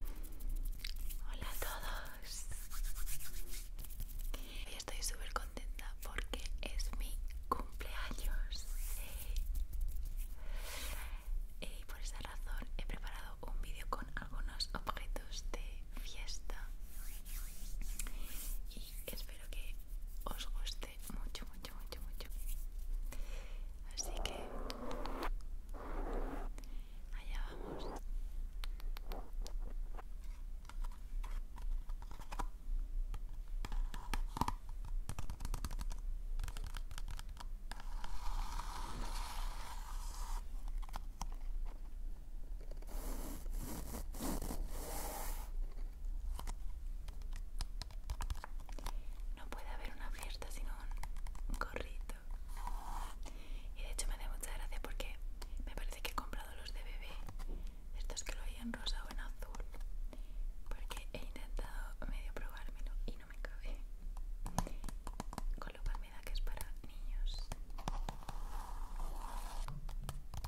Hola a todos. Hoy estoy súper contenta porque es mi cumpleaños. Eh, y por esa razón he preparado un vídeo con algunos objetos de fiesta espero que os guste mucho, mucho, mucho, mucho. Así que allá vamos. No puede haber una fiesta sin un gorrito. Y de hecho me da mucha gracia porque me parece que he comprado los de bebé, estos que lo hay en rosa o en azul, porque he intentado medio probármelo y no me cabe. Con lo cual me da que es para niños.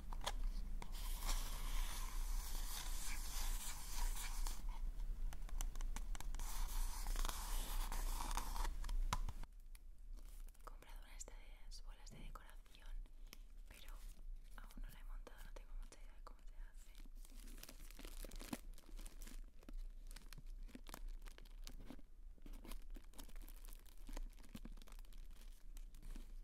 comprado una de estas bolas de decoración pero aún no la he montado no tengo mucha idea de cómo se hace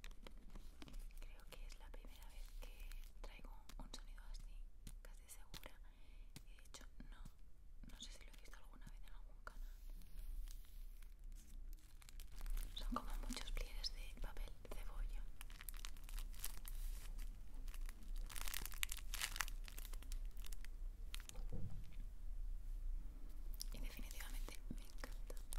Creo que es la primera vez que traigo un sonido así, casi segura. Y de hecho, no, no sé si lo he visto alguna vez en algún canal. Son como muchos pliegues de papel cebolla. Y definitivamente me encanta.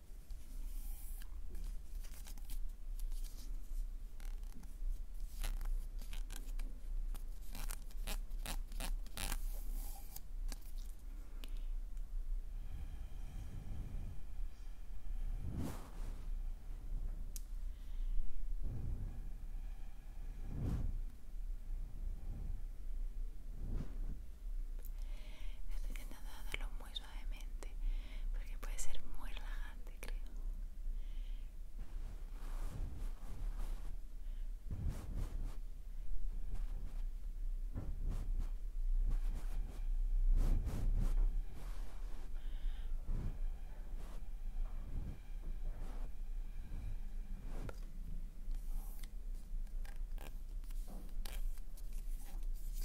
Estoy intentando hacerlo muy suavemente porque puede ser muy relajante creo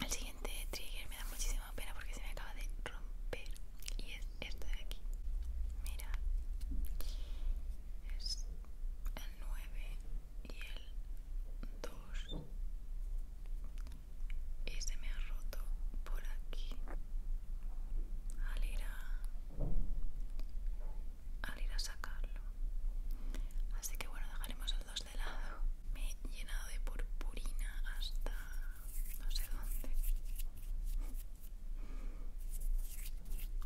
El siguiente trigger me da muchísima pena porque se me acaba de romper y es esto de aquí. Mira, es el 9 y el 2 y se me ha roto por aquí al ir a, al ir a sacarlo así que bueno dejaremos el 2 de lado me he llenado de purpurina hasta no sé dónde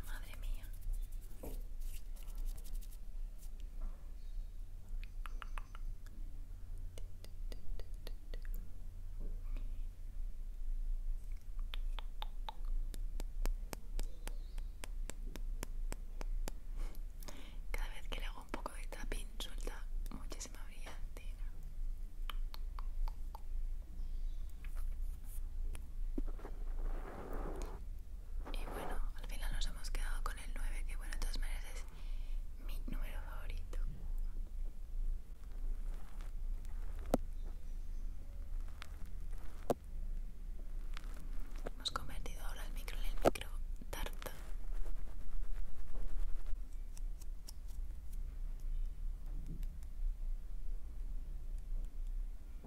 madre mía cada vez que le hago un poco de tapping suelta muchísima brillantina. Y bueno, al final nos hemos quedado con el 9, que bueno, de todas maneras es mi número favorito. Hemos convertido ahora el micro en el micro tarta.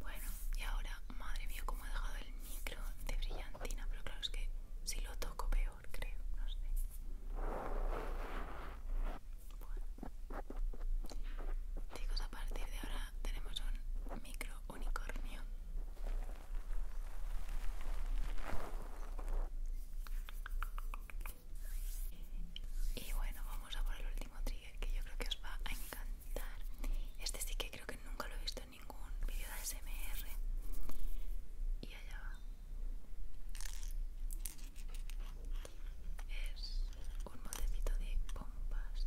Bueno, y ahora, madre mía, cómo he dejado el micro de brillantina, pero claro, es que si lo toco peor, creo, no sé. Bueno. Chicos, a partir de ahora tenemos un micro unicornio. Y bueno, vamos a por el último trigger que yo creo que os va a encantar. Este sí que creo que nunca lo he visto en ningún vídeo de ASMR. Y allá va. Es un moldecito de pompas.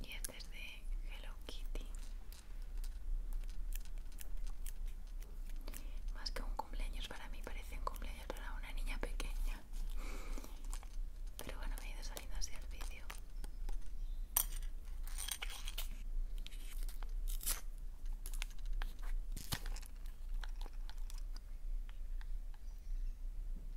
y este es de Hello Kitty más que un cumpleaños para mí parece un cumpleaños para una niña pequeña pero bueno me he ido saliendo así el vídeo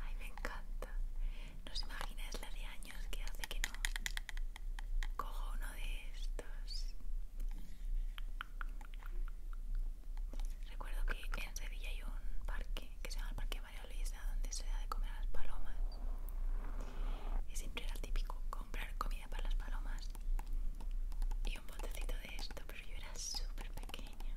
Ay, me encanta. No imaginas imagináis la de años que hace que no cojo uno de estos. Recuerdo que en Sevilla hay un parque que se llama el Parque María Luisa, donde se da de comer a las palomas. Y siempre era típico comprar comida para las palomas y un botecito de esto, pero yo era súper pequeña.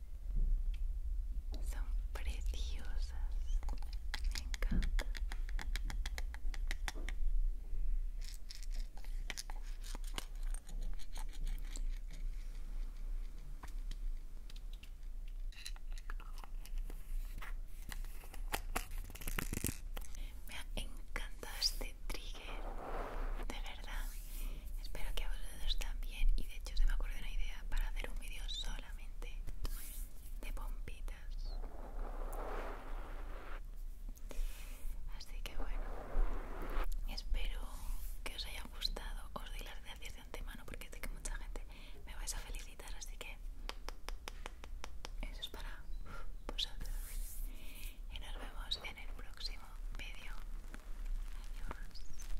Son preciosas, me encanta. Me ha encantado este trigger, de verdad. Espero que a vosotros también y de hecho se me ocurrido una idea para hacer un vídeo solamente de pompitas así que bueno espero que os haya gustado os doy las gracias de antemano porque sé que mucha gente me vais a felicitar así que eso es para vosotros y nos vemos en el próximo vídeo adiós